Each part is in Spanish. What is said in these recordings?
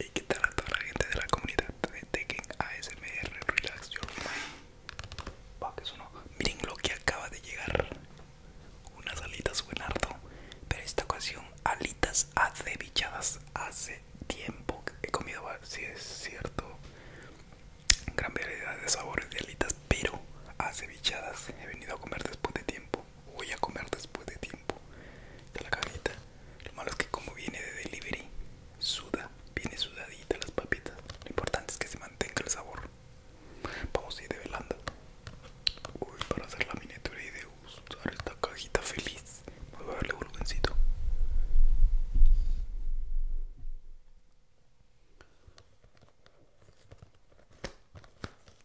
Y qué tal a toda la gente de la comunidad de Tekken ASMR Relax Your Mind Miren lo que acaba de llegar Unas alitas buenardo, harto Pero esta ocasión alitas acevichadas Hace tiempo que he comido, si es cierto Gran variedad de sabores de alitas Pero acevichadas he venido a comer después de tiempo voy a comer después de tiempo de la cajita lo malo es que como viene de delivery suda viene sudadita las papitas lo importante es que se mantenga el sabor vamos a ir de velanda Uy, para hacer la miniatura y usar esta cajita feliz voy a darle volumencito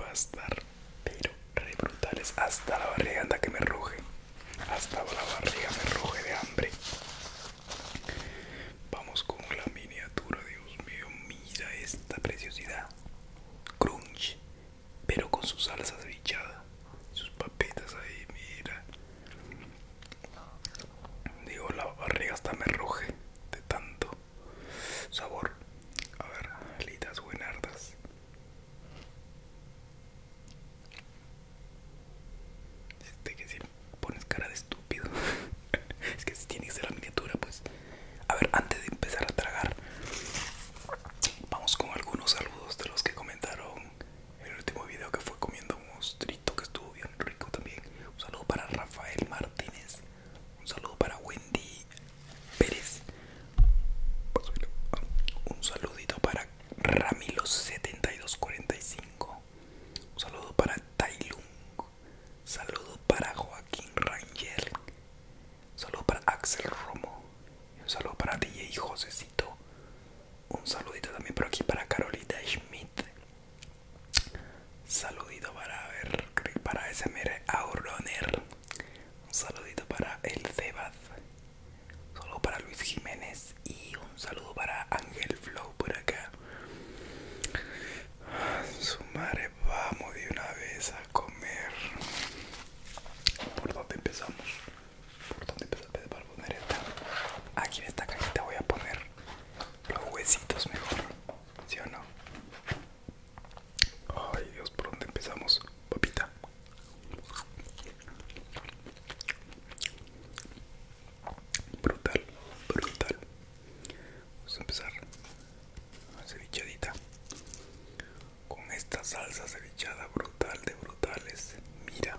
Va a estar pero re brutales hasta la barriga anda que me roje Hasta la barriga me roje de hambre. Vamos con la miniatura, Dios mío, mira esta preciosidad. Crunch, pero con sus salsas bichadas, sus papitas ahí, mira. Digo, la barriga hasta me roje de tanto. Sabor, a ver, alitas buenardas. Este que si pones cara de estúpido, es que si tiene que ser la miniatura, pues. A ver, antes de empezar a tragar, vamos con algunos saludos de los que comentaron el último video que fue comiendo un mostrito que estuvo bien rico también. Un saludo para Rafael Martínez, un saludo para Wendy Pérez. Un saludito para ramiro 7245 Un saludo para Tailung. Saludo para Joaquín Rangel. saludo para Axel Romo. Un saludo para DJ Josecito. Un saludito también por aquí para Carolita Schmidt. Saludito para ver para SMR Auroner. Un saludito para el Un Solo para Luis Jiménez y un saludo para Ángel Flow por acá. Su madre, vamos de una vez a comer. ¿Por dónde empezamos? ¿Por dónde empezamos? Para poner esta. Aquí en esta cajita voy a poner los huesitos mejor, ¿sí o no? Ay Dios, ¿por dónde empezamos? Papita. Brutal, brutal. Vamos a empezar cevichadita con esta salsa cevichada brutal de brutales. Mira,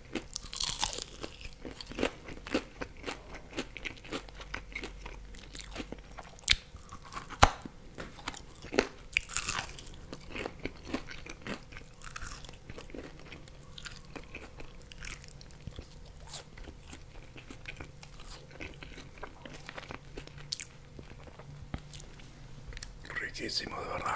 Riquísimo, de verdad.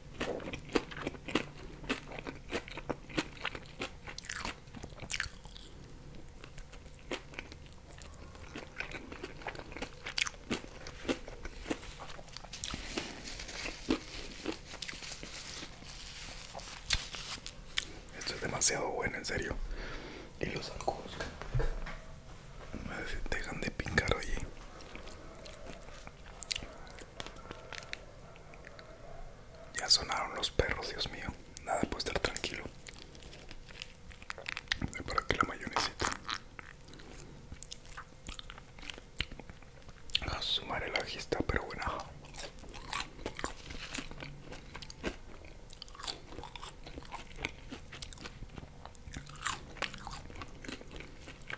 Esto es demasiado bueno, en serio. Y los dejan de picar, hoy. Ya sonaron los perros, Dios mío. Nada puede estar tranquilo. Para que la mayonesita. A sumar el está pero buena.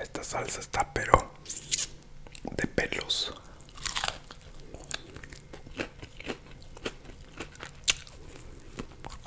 Esta salsa está pero de pelos.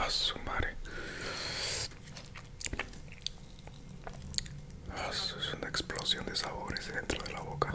A su madre. Ah, es una explosión de sabores dentro de la boca.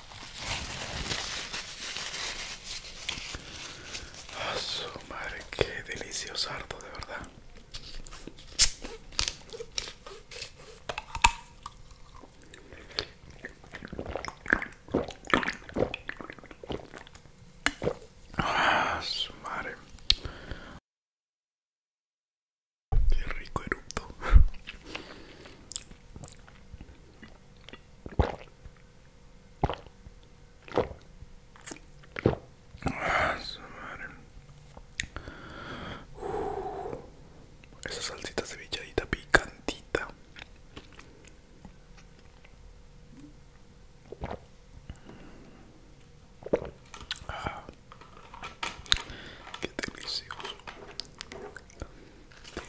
A ah, su madre, qué delicioso harto, de verdad. Ah, su madre. Qué rico erupto. Uh, esa salsita cebilladita picantita. Ah, qué delicioso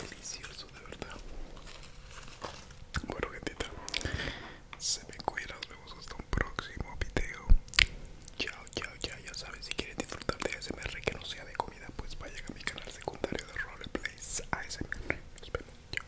delicioso de verdad bueno gentita se me cuida nos vemos hasta un próximo video chao chao chao ya sabes si quieres disfrutar de ASMR que no sea de comida pues vayan a mi canal secundario de roleplays ASMR nos vemos chao